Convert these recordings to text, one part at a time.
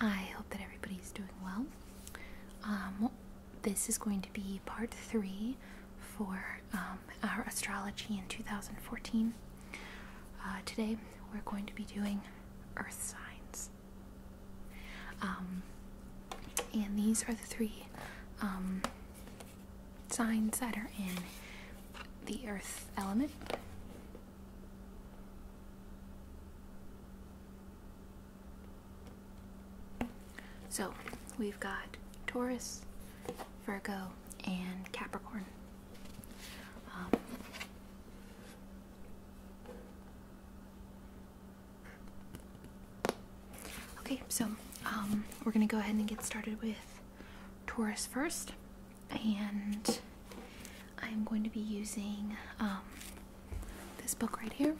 I hope that everybody's doing well. Um, this is going to be part three for um, our astrology in 2014. Uh, today we're going to be doing earth signs. Um, and these are the three um, signs that are in the earth element. So we've got Taurus, Virgo, and Capricorn. Um, okay, so um, we're going to go ahead and get started with Taurus first. And I'm going to be using um, this book right here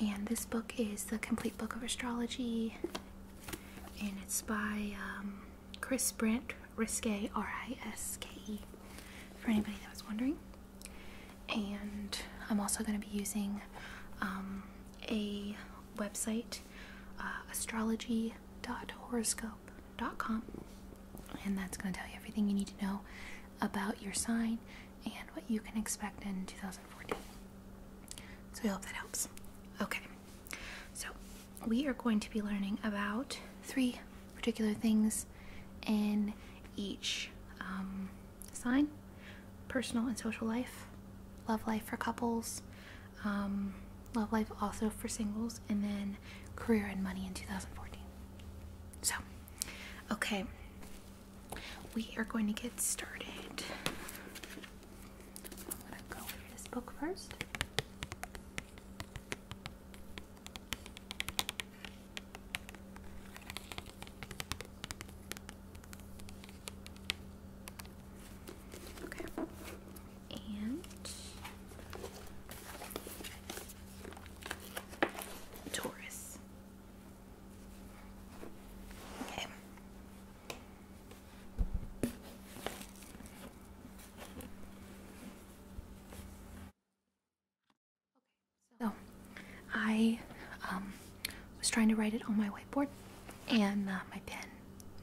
and this book is the complete book of astrology and it's by um, Chris Brent Riske R-I-S-K-E for anybody that was wondering and I'm also going to be using um, a website uh, astrology.horoscope.com and that's going to tell you everything you need to know about your sign and what you can expect in 2014 so I hope that helps. Okay, so we are going to be learning about three particular things in each um, sign personal and social life, love life for couples, um, love life also for singles, and then career and money in 2014. So, okay, we are going to get started I'm gonna go with this book first. Okay, and Taurus. Okay, so, I um, was trying to write it on my whiteboard, and uh, my pen,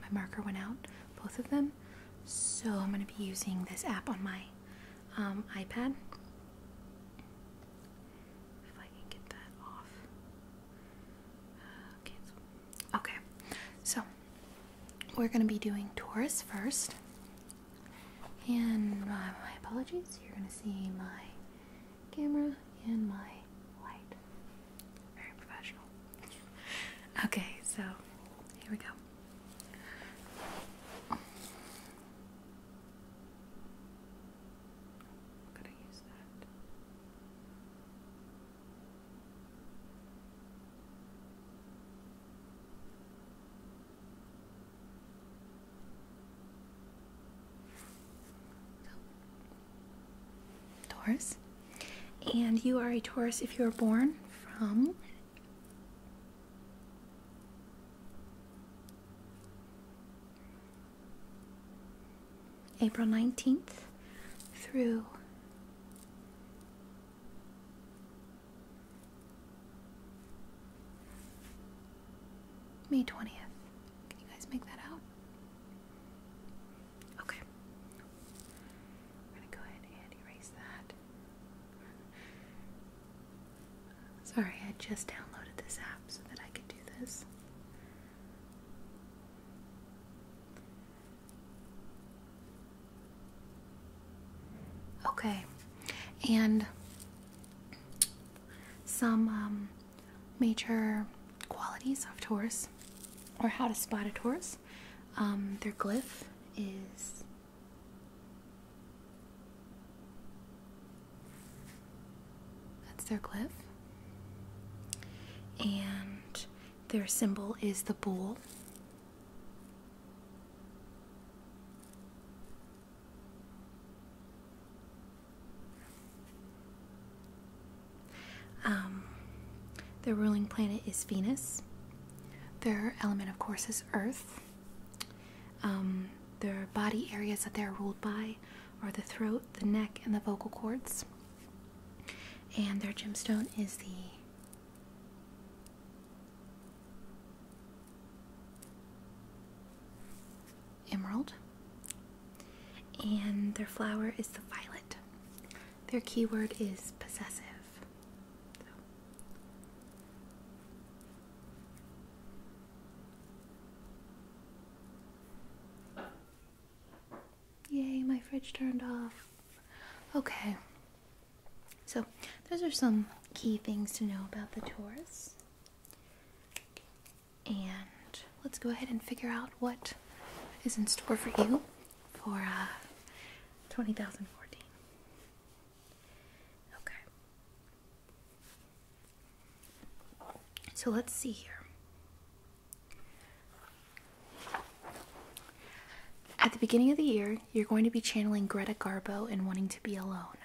my marker went out, both of them. So, I'm going to be using this app on my um, iPad. If I can get that off. Okay, so we're gonna be doing Taurus first, and uh, my apologies. You're gonna see my camera and my light. Very professional. okay, so here we go. Taurus. And you are a Taurus if you were born from April 19th through May 20th. Can you guys make that out? Okay. We're going to go ahead and erase that. Sorry, I just downloaded this app so that I could do this. Okay, and some um, major qualities of Taurus or how to spot a Taurus. Um, their glyph is that's their glyph, And their symbol is the bull. Um, their ruling planet is Venus. Their element, of course, is Earth. Um, their body areas that they're ruled by body the throat, the neck, and the vocal cords. And their gemstone is the emerald. And their flower is the violet. Their keyword is possessive. Yay, my fridge turned off. Okay. So, those are some key things to know about the Taurus. And let's go ahead and figure out what is in store for you for uh, twenty fourteen. Okay. So let's see here. At the beginning of the year, you're going to be channeling Greta Garbo and wanting to be alone.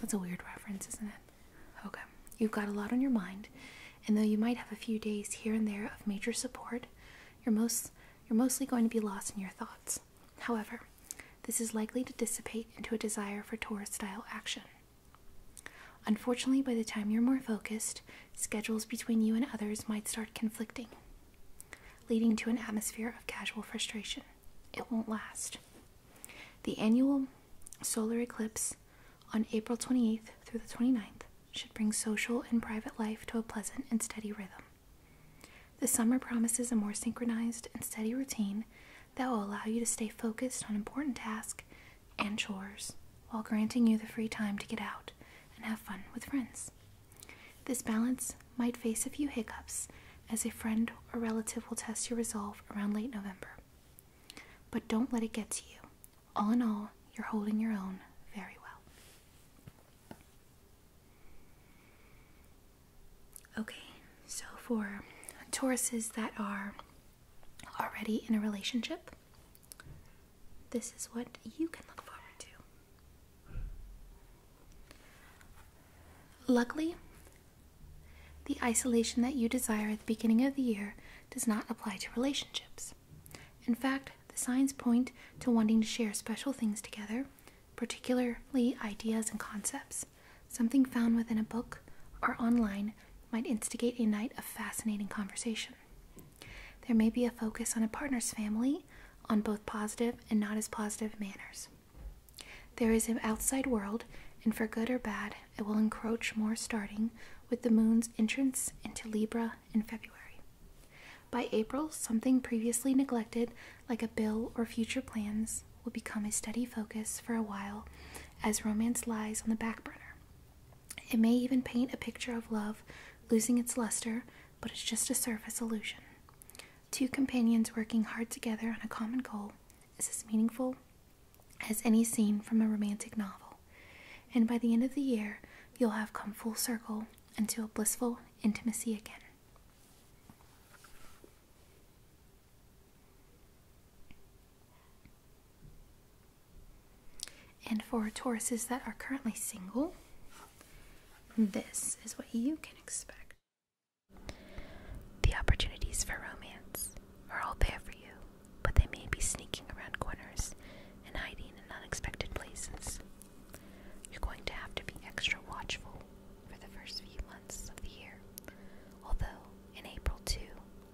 That's a weird reference, isn't it? Okay. You've got a lot on your mind, and though you might have a few days here and there of major support, you're most you're mostly going to be lost in your thoughts. However, this is likely to dissipate into a desire for Taurus style action. Unfortunately, by the time you're more focused, schedules between you and others might start conflicting, leading to an atmosphere of casual frustration. It won't last. The annual solar eclipse on April 28th through the 29th should bring social and private life to a pleasant and steady rhythm. The summer promises a more synchronized and steady routine that will allow you to stay focused on important tasks and chores while granting you the free time to get out and have fun with friends. This balance might face a few hiccups as a friend or relative will test your resolve around late November. But don't let it get to you. All in all, you're holding your own very well. Okay, so for Tauruses that are already in a relationship, this is what you can look forward to. Luckily, the isolation that you desire at the beginning of the year does not apply to relationships. In fact, the signs point to wanting to share special things together, particularly ideas and concepts. Something found within a book or online might instigate a night of fascinating conversation. There may be a focus on a partner's family, on both positive and not as positive manners. There is an outside world, and for good or bad, it will encroach more starting with the moon's entrance into Libra in February. By April, something previously neglected, like a bill or future plans, will become a steady focus for a while as romance lies on the back burner. It may even paint a picture of love losing its luster, but it's just a surface illusion. Two companions working hard together on a common goal is as meaningful as any scene from a romantic novel. And by the end of the year, you'll have come full circle into a blissful intimacy again. And for Tauruses that are currently single, this is what you can expect. The opportunities for romance are all there for you, but they may be sneaking around corners and hiding in unexpected places. You're going to have to be extra watchful for the first few months of the year, although in April, too,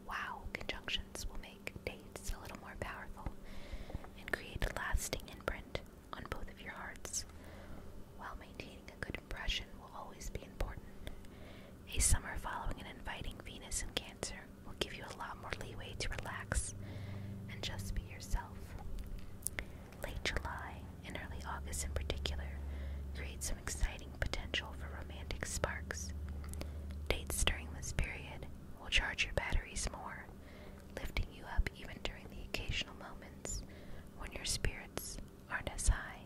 wow conjunctions will make dates a little more powerful and create a lasting imprint on both of your hearts. While maintaining a good impression will always be important, a summer following an inviting Venus in Cancer will give you a lot more leeway to relax and just be yourself. Late July and early August, in particular, create some exciting potential for romantic sparks. Dates during this period will charge your batteries more, lifting you up even during the occasional moments when your spirits aren't as high.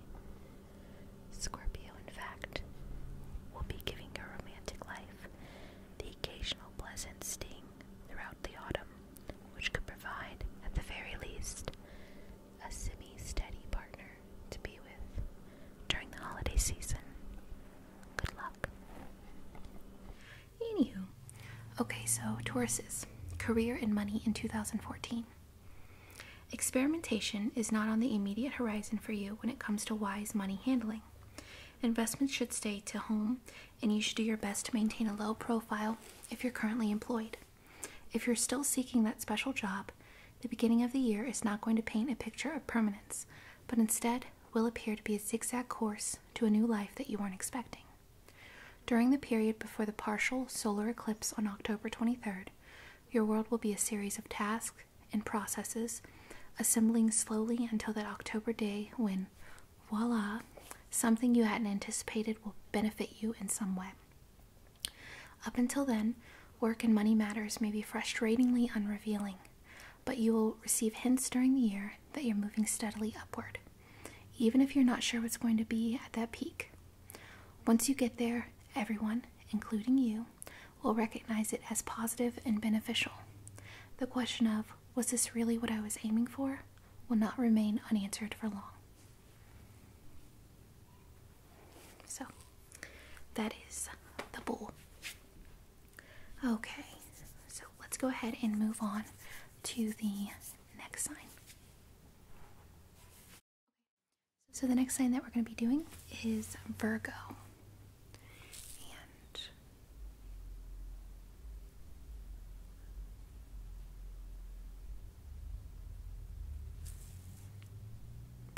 Scorpio, in fact, will be giving a romantic life the occasional pleasant sting throughout the autumn, which could provide, at the very least, a semi-steady partner to be with during the holiday season. Good luck. Anywho. Okay, so Tauruses, career and money in 2014. Experimentation is not on the immediate horizon for you when it comes to wise money handling. Investments should stay to home, and you should do your best to maintain a low profile if you're currently employed. If you're still seeking that special job, the beginning of the year is not going to paint a picture of permanence, but instead will appear to be a zigzag course to a new life that you weren't expecting. During the period before the partial solar eclipse on October 23rd, your world will be a series of tasks and processes assembling slowly until that October day when, voila, something you hadn't anticipated will benefit you in some way. Up until then, work and money matters may be frustratingly unrevealing, but you will receive hints during the year that you're moving steadily upward, even if you're not sure what's going to be at that peak. Once you get there, everyone, including you, will recognize it as positive and beneficial. The question of, was this really what I was aiming for, will not remain unanswered for long. So that is the bowl. Okay, so let's go ahead and move on to the next sign. So the next sign that we're going to be doing is Virgo.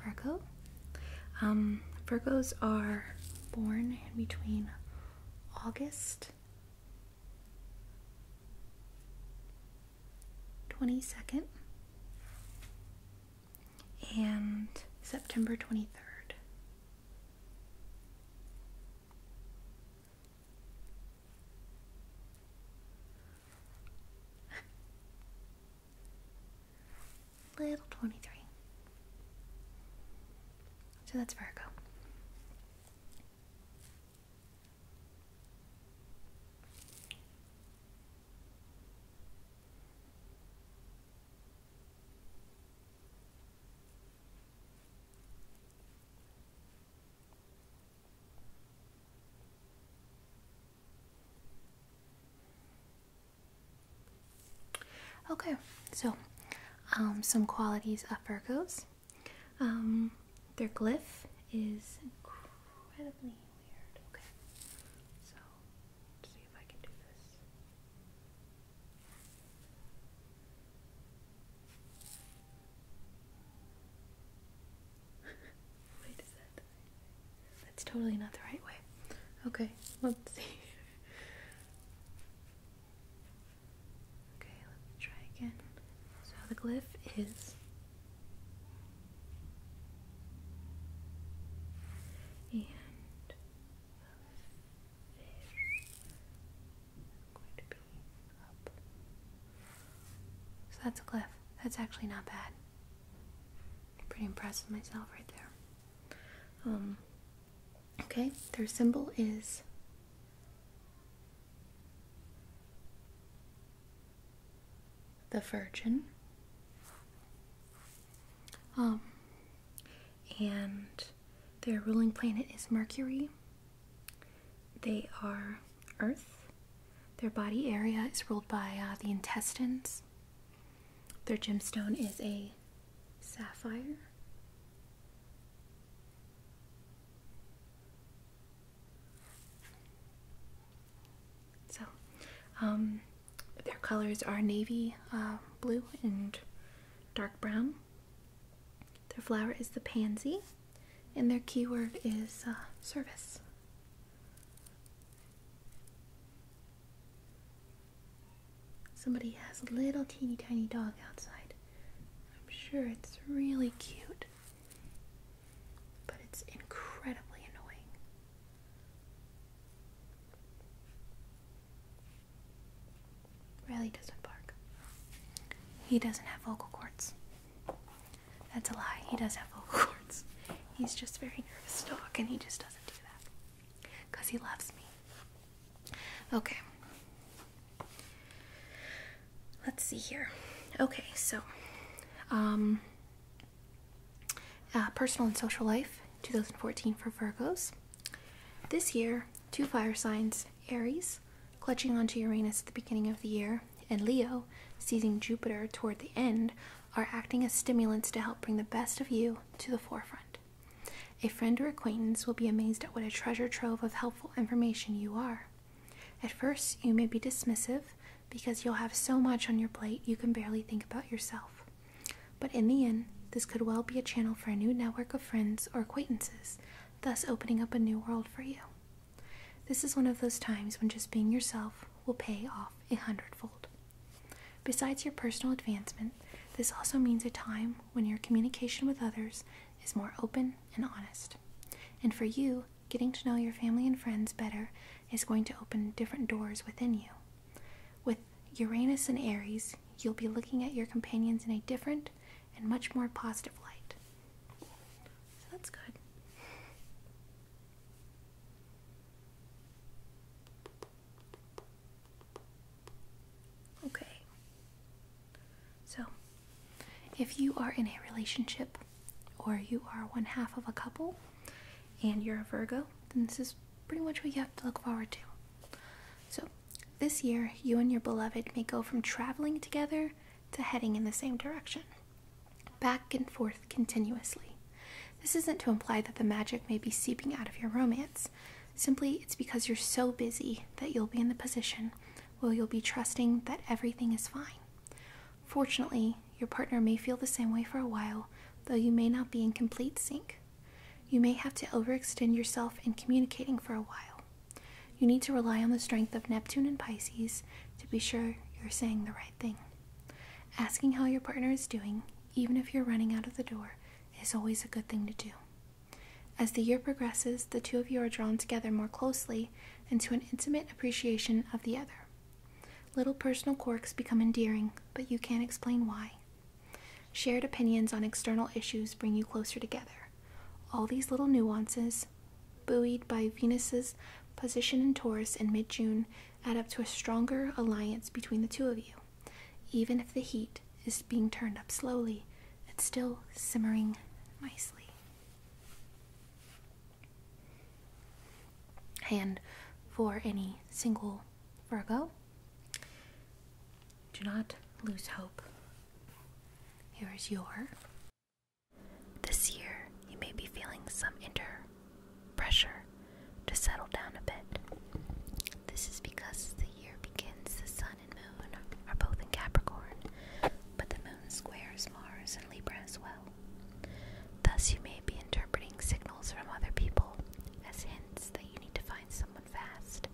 Virgo. Um, Virgos are born in between August 22nd and September 23rd. Little 23. So that's Virgo. Okay, so um, some qualities of Virgos. Um, their glyph is incredibly weird. That's totally not the right way. Okay, let's see. Okay, let's try again. So the glyph is and fish going to be up. So that's a glyph. That's actually not bad. Pretty impressed with myself right there. Um, okay, their symbol is the Virgin. Um, and their ruling planet is Mercury. They are Earth, their body area is ruled by uh, the intestines. Their gemstone is a sapphire. So, um, their colors are navy uh, blue and dark brown. Their flower is the pansy, and their keyword is uh, service. Somebody has a little teeny tiny dog outside. I'm sure it's really cute, but it's incredibly annoying. Riley doesn't bark, he doesn't have vocal cords. That's a lie. He does have Hogwarts. He's just very nervous talk, and he just doesn't do that because he loves me. Okay. Let's see here. Okay, so, um, uh, personal and social life, 2014 for Virgos. This year, two fire signs, Aries, clutching onto Uranus at the beginning of the year, and Leo, seizing Jupiter toward the end, are acting as stimulants to help bring the best of you to the forefront. A friend or acquaintance will be amazed at what a treasure trove of helpful information you are. At first, you may be dismissive because you'll have so much on your plate you can barely think about yourself. But in the end, this could well be a channel for a new network of friends or acquaintances, thus opening up a new world for you. This is one of those times when just being yourself will pay off a hundredfold. Besides your personal advancement, this also means a time when your communication with others is more open and honest. And for you, getting to know your family and friends better is going to open different doors within you. With Uranus and Aries, you'll be looking at your companions in a different and much more positive light. that's good. Okay. So, if you are in a relationship or you are one half of a couple and you're a Virgo, then this is pretty much what you have to look forward to. So, this year, you and your beloved may go from traveling together to heading in the same direction back and forth continuously. This isn't to imply that the magic may be seeping out of your romance. Simply, it's because you're so busy that you'll be in the position where you'll be trusting that everything is fine. Fortunately, your partner may feel the same way for a while, though you may not be in complete sync. You may have to overextend yourself in communicating for a while. You need to rely on the strength of Neptune and Pisces to be sure you're saying the right Asking how your partner is doing, even if you're running out of the door, is always a good thing to do. As the year progresses, the two of you are drawn together more closely into an intimate appreciation of the other. Little personal quirks become endearing, but you can't explain why. Shared opinions on external issues bring you closer together. All these little nuances, buoyed by Venus's position in Taurus in mid June, add up to a stronger alliance between the two of you. Even if the heat is being turned up slowly, it's still simmering nicely. And for any single Virgo, do not lose hope. Here is your this year, you may be feeling some inner pressure to settle down a bit. This is because the year begins, the Sun and Moon are both in Capricorn, but the Moon squares Mars and Libra as well. Thus, you may be interpreting signals from other people as hints that you need to find someone fast.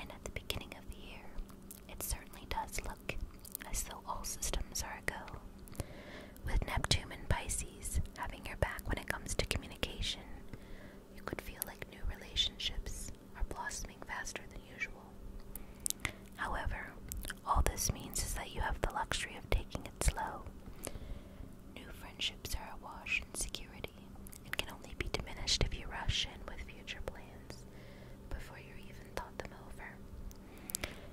And at the beginning of the year, it certainly does look look, as though all systems are a go. With Neptune and Pisces having your back when it comes to communication, you could feel like new relationships are blossoming faster than usual. However, all this means is that you have the luxury of taking it slow. New friendships are awash in security and can only be diminished if you rush in with future plans before you even thought them over.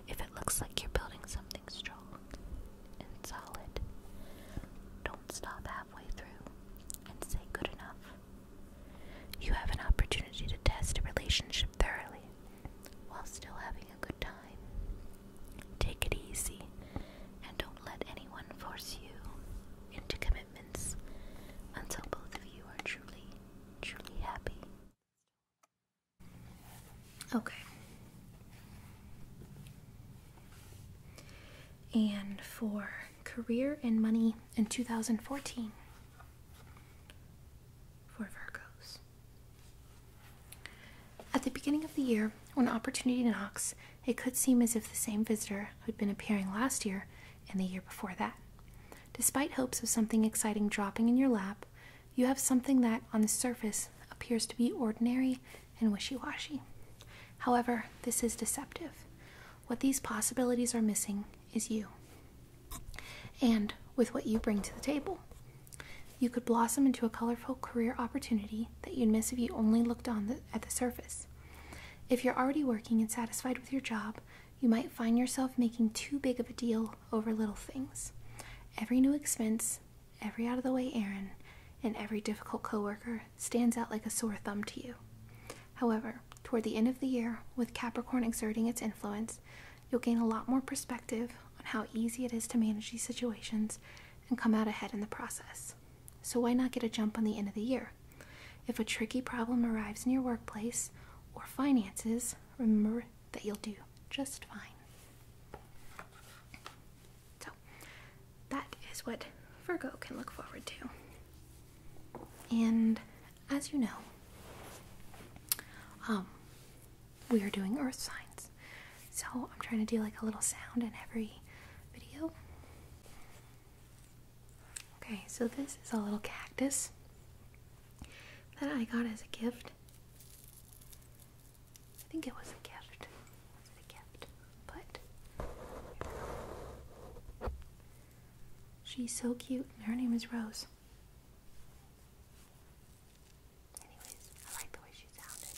If it looks like you're building something strong and solid, don't stop halfway through and say good enough. You have an opportunity to test a relationship thoroughly while still having a good time. Take it easy and don't let anyone force you into commitments until both of you are truly, truly happy. Okay. And for career and money in 2014 for Virgos. At the beginning of the year, when opportunity knocks, it could seem as if the same visitor had been appearing last year and the year before that. Despite hopes of something exciting dropping in your lap, you have something that, on the surface, appears to be ordinary and wishy washy. However, this is deceptive. What these possibilities are missing is you, and with what you bring to the table. You could blossom into a colorful career opportunity that you'd miss if you only looked on at the surface. If you're already working and satisfied with your job, you might find yourself making too big of a deal over little things. Every new expense, every out of the way errand, and every difficult coworker stands out like a sore thumb to you. However, toward the end of the year, with Capricorn exerting its influence, you'll gain a lot more perspective on how easy it is to manage these situations and come out ahead in the process. So, why not get a jump on the end of the year? If a tricky problem arrives in your workplace or finances, remember that you'll do just fine. So, that is what Virgo can look forward to. And as you know, um, we are doing earth signs. So I'm trying to do like a little sound in every video. Okay, so this is a little cactus that I got as a gift. I think it was a gift. Was it a gift? But she's so cute, and her name is Rose. Anyways, I like the way she sounded.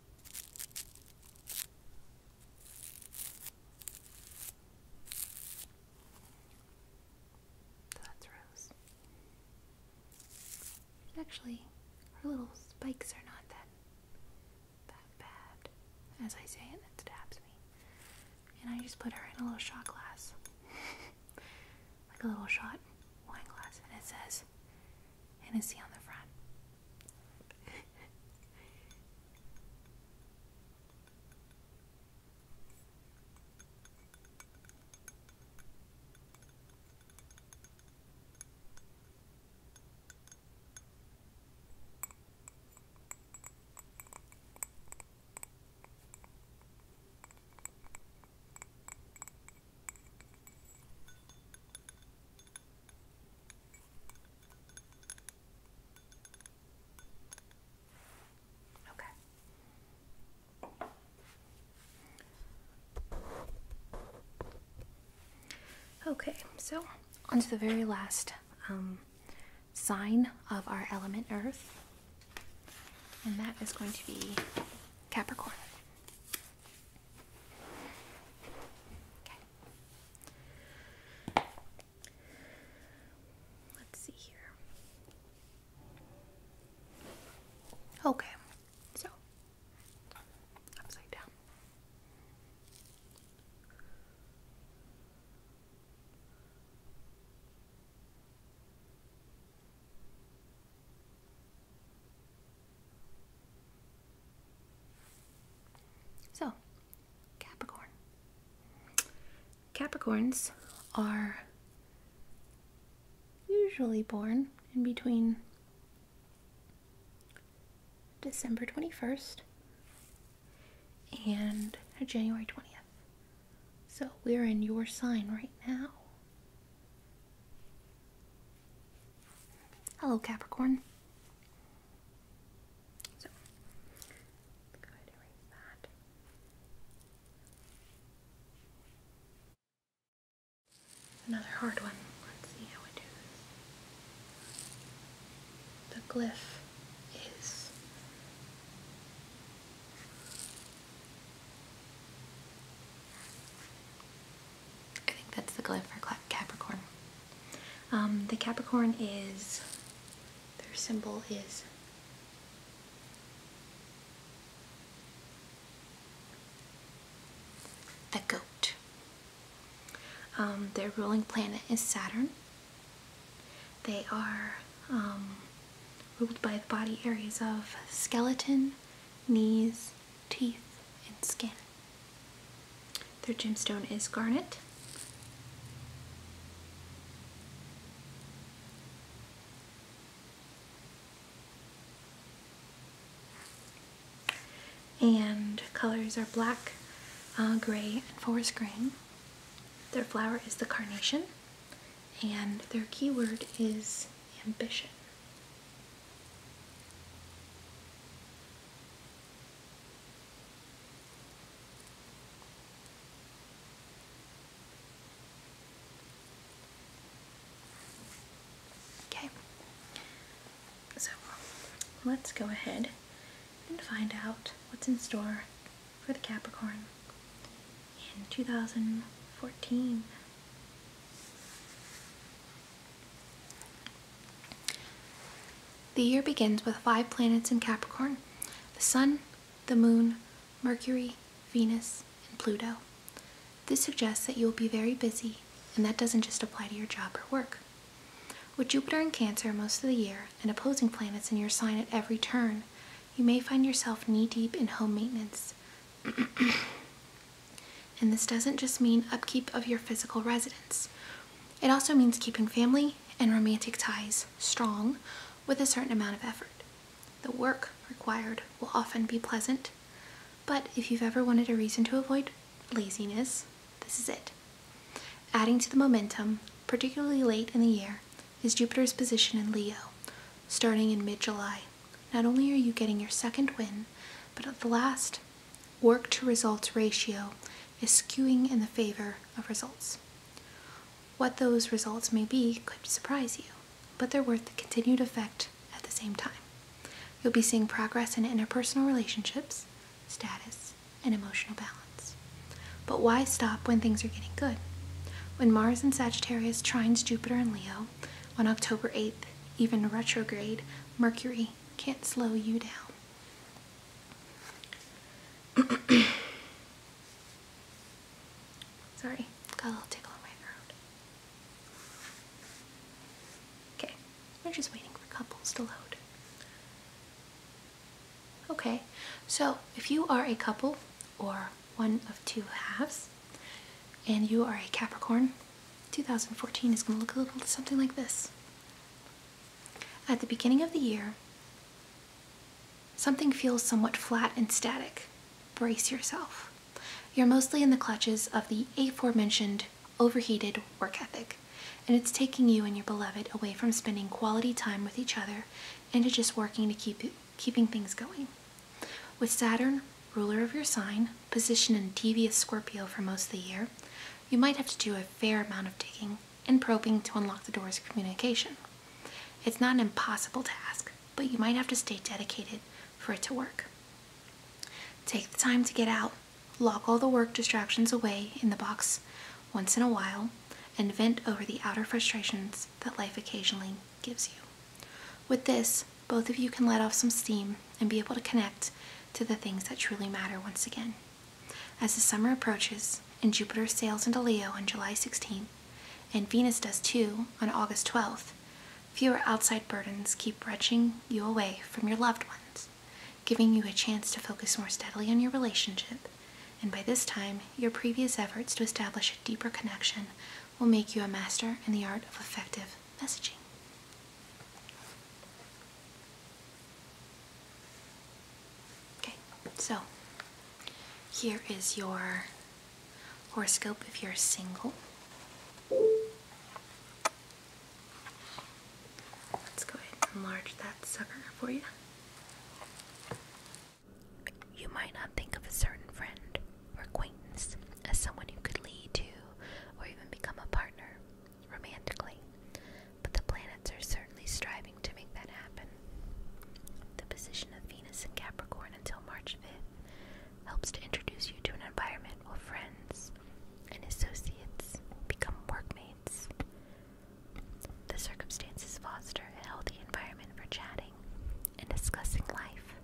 that's Rose. Actually, her little spikes are not that that bad. As I say and it stabs me. And I just put her in a little shot glass. like a little shot wine glass. And it says, and a C on the front. Okay. Okay, so on to the very last um, sign of our element Earth, and that is going to be Capricorn. Okay. Let's see here. Okay, so upside down. So, Capricorn. Capricorns are usually born in between December 21st and January 20th. So we're in your sign right now. Hello, Capricorn. So, Another hard one. Let's see how we do this. The glyph is I think that's the glyph for Capricorn. Um, the Capricorn is, their symbol is the goat. Um, their ruling planet is Saturn. They are um, ruled by the body areas of skeleton, knees, teeth, and skin. Their gemstone is garnet. And colors are black, uh, gray, and forest green. Their flower is the carnation, and their keyword is ambition. Okay, so let's go ahead and find out what's in store for the Capricorn in 2014. The year begins with five planets in Capricorn the Sun, the Moon, Mercury, Venus, and Pluto. This suggests that you will be very busy, and that doesn't just apply to your job or work. With Jupiter in Cancer most of the year and opposing planets in your sign at every turn, you may find yourself knee deep in home maintenance. And this doesn't just mean upkeep of your physical residence. It also means keeping family and romantic ties strong with a certain amount of effort. The work required will often be pleasant, but if you've ever wanted a reason to avoid laziness, this is it. Adding to the momentum, particularly late in the year, is Jupiter's position in Leo, starting in mid July. Not only are you getting your second win, but the last, work to results ratio is skewing in the favor of results. What those results may be could surprise you, but they're worth the continued effect at the same time. You'll be seeing progress in interpersonal relationships, status, and emotional balance. But why stop when things are getting good? When Mars in Sagittarius trines Jupiter in Leo on October 8th, even retrograde Mercury can't slow you down. Sorry, got a little tickle in my throat. Okay, we're just waiting for couples to load. Okay, so if you are a couple or one of two halves, and you are a Capricorn, 2014 is going to look a little something like this. At the beginning of the year, something feels somewhat flat and static. Brace yourself. You're mostly in the clutches of the aforementioned overheated work ethic, and it's taking you and your beloved away from spending quality time with each other and to just working to keep keeping things going. With Saturn, ruler of your sign, positioned in devious Scorpio for most of the year, you might have to do a fair amount of digging and probing to unlock the doors of communication. It's not an impossible task, but you might have to stay dedicated for it to work. Take the time to get out, lock all the work distractions away in the box once in a while, and vent over the outer frustrations that life occasionally gives you. With this, both of you can let off some steam and be able to connect to the things that truly matter once again. As the summer approaches and Jupiter sails into Leo on July 16th, and Venus does too on August 12th, fewer outside burdens keep wrenching you away from your loved ones, giving you a chance to focus more steadily on your relationship, and by this time, your previous efforts to establish a deeper connection will make you a master in the art of effective messaging. Okay, so here is your horoscope if you're single. Let's go ahead and enlarge that sucker for you. You might not think of a certain friend or acquaintance as someone who could lead to or even become a partner romantically, but the planets are certainly striving to make that happen. The position of Venus in Capricorn until March 5th helps to introduce you to an environment where friends and associates become workmates. The circumstances foster a healthy environment for chatting and discussing life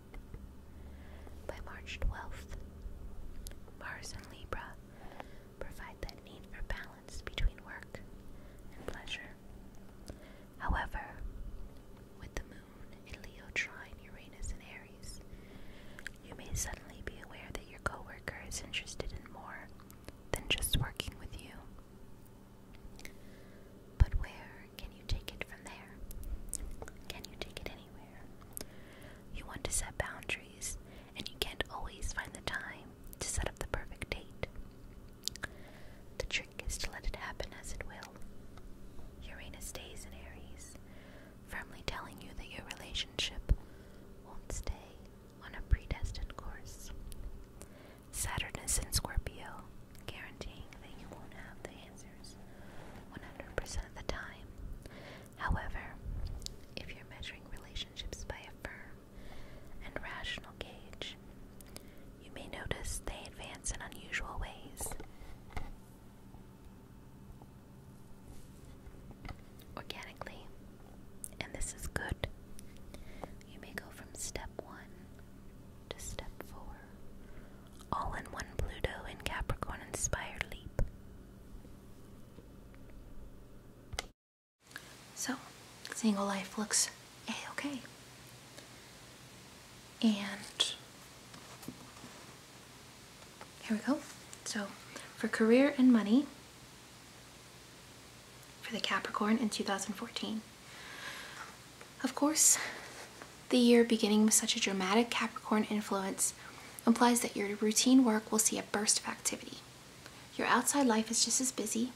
by March 12th, Mars and Libra provide that need for balance between work and pleasure. However, with the moon in Leo trine Uranus and Aries, you may suddenly be aware that your coworker is interested in more than just working with you. But where can you take it from there? Can you take it anywhere? You want to set boundaries, and you can't always find the time to set up the perfect date. The trick is to let it happen as it will. Uranus stays in Aries, firmly telling you that your relationship won't stay on a predestined course. Saturnus is in Scorpio, guaranteeing that you won't have the answers 100% of the time. However, if you're measuring relationships by a firm and rational gauge, you may notice they advance in unusual ways organically, and this is good. You may go from step one to step four all in one Pluto in Capricorn inspired leap. So, single life looks okay. And here we go. So, for career and money, for the Capricorn in 2014. Of course, the year beginning with such a dramatic Capricorn influence implies that your routine work will see a burst of activity. Your outside life is just as busy,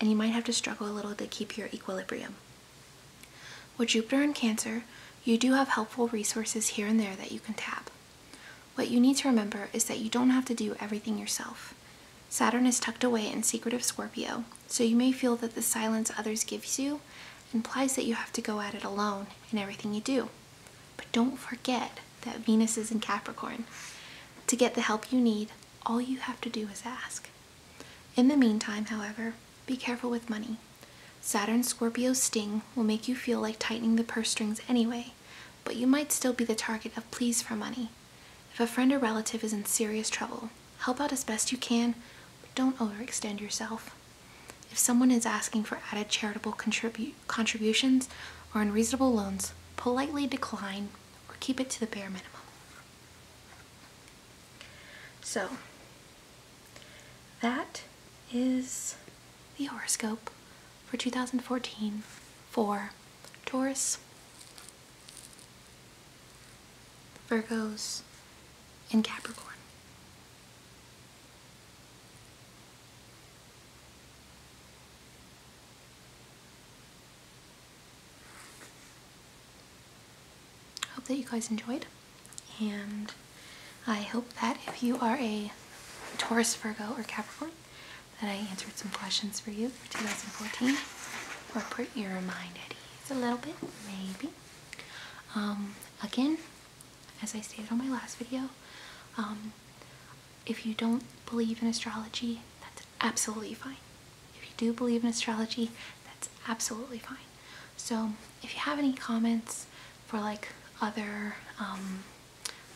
and you might have to struggle a little to keep your equilibrium. With Jupiter in Cancer, you do have helpful resources here and there that you can tap. What you need to remember is that you don't have to do everything yourself. Saturn is tucked away in secretive Scorpio, so you may feel that the silence others give you implies that you have to go at it alone in everything you do. But don't forget that Venus is in Capricorn. To get the help you need, all you have to do is ask. In the meantime, however, be careful with money. Saturn Scorpio's sting will make you feel like tightening the purse strings anyway, but you might still be the target of pleas for money. If a friend or relative is in serious trouble, help out as best you can, but don't overextend yourself. If someone is asking for added charitable contributions or unreasonable loans, politely decline or keep it to the bare minimum. So, that is the horoscope for 2014 for Taurus, Virgos, and Capricorn hope that you guys enjoyed and I hope that if you are a Taurus, Virgo, or Capricorn that I answered some questions for you for 2014 or put your mind at ease a little bit maybe. Um, again, as I stated on my last video, um, if you don't believe in astrology, that's absolutely fine. If you do believe in astrology, that's absolutely fine. So if you have any comments for like other um,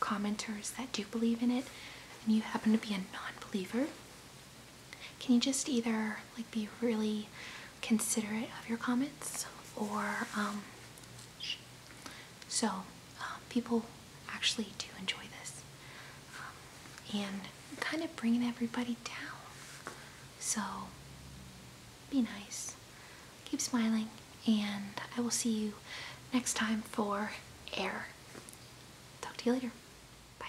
commenters that do believe in it, and you happen to be a non-believer, can you just either like be really considerate of your comments or um, so uh, people actually do enjoy this um, and kind of bringing everybody down so be nice keep smiling and I will see you next time for air talk to you later Bye.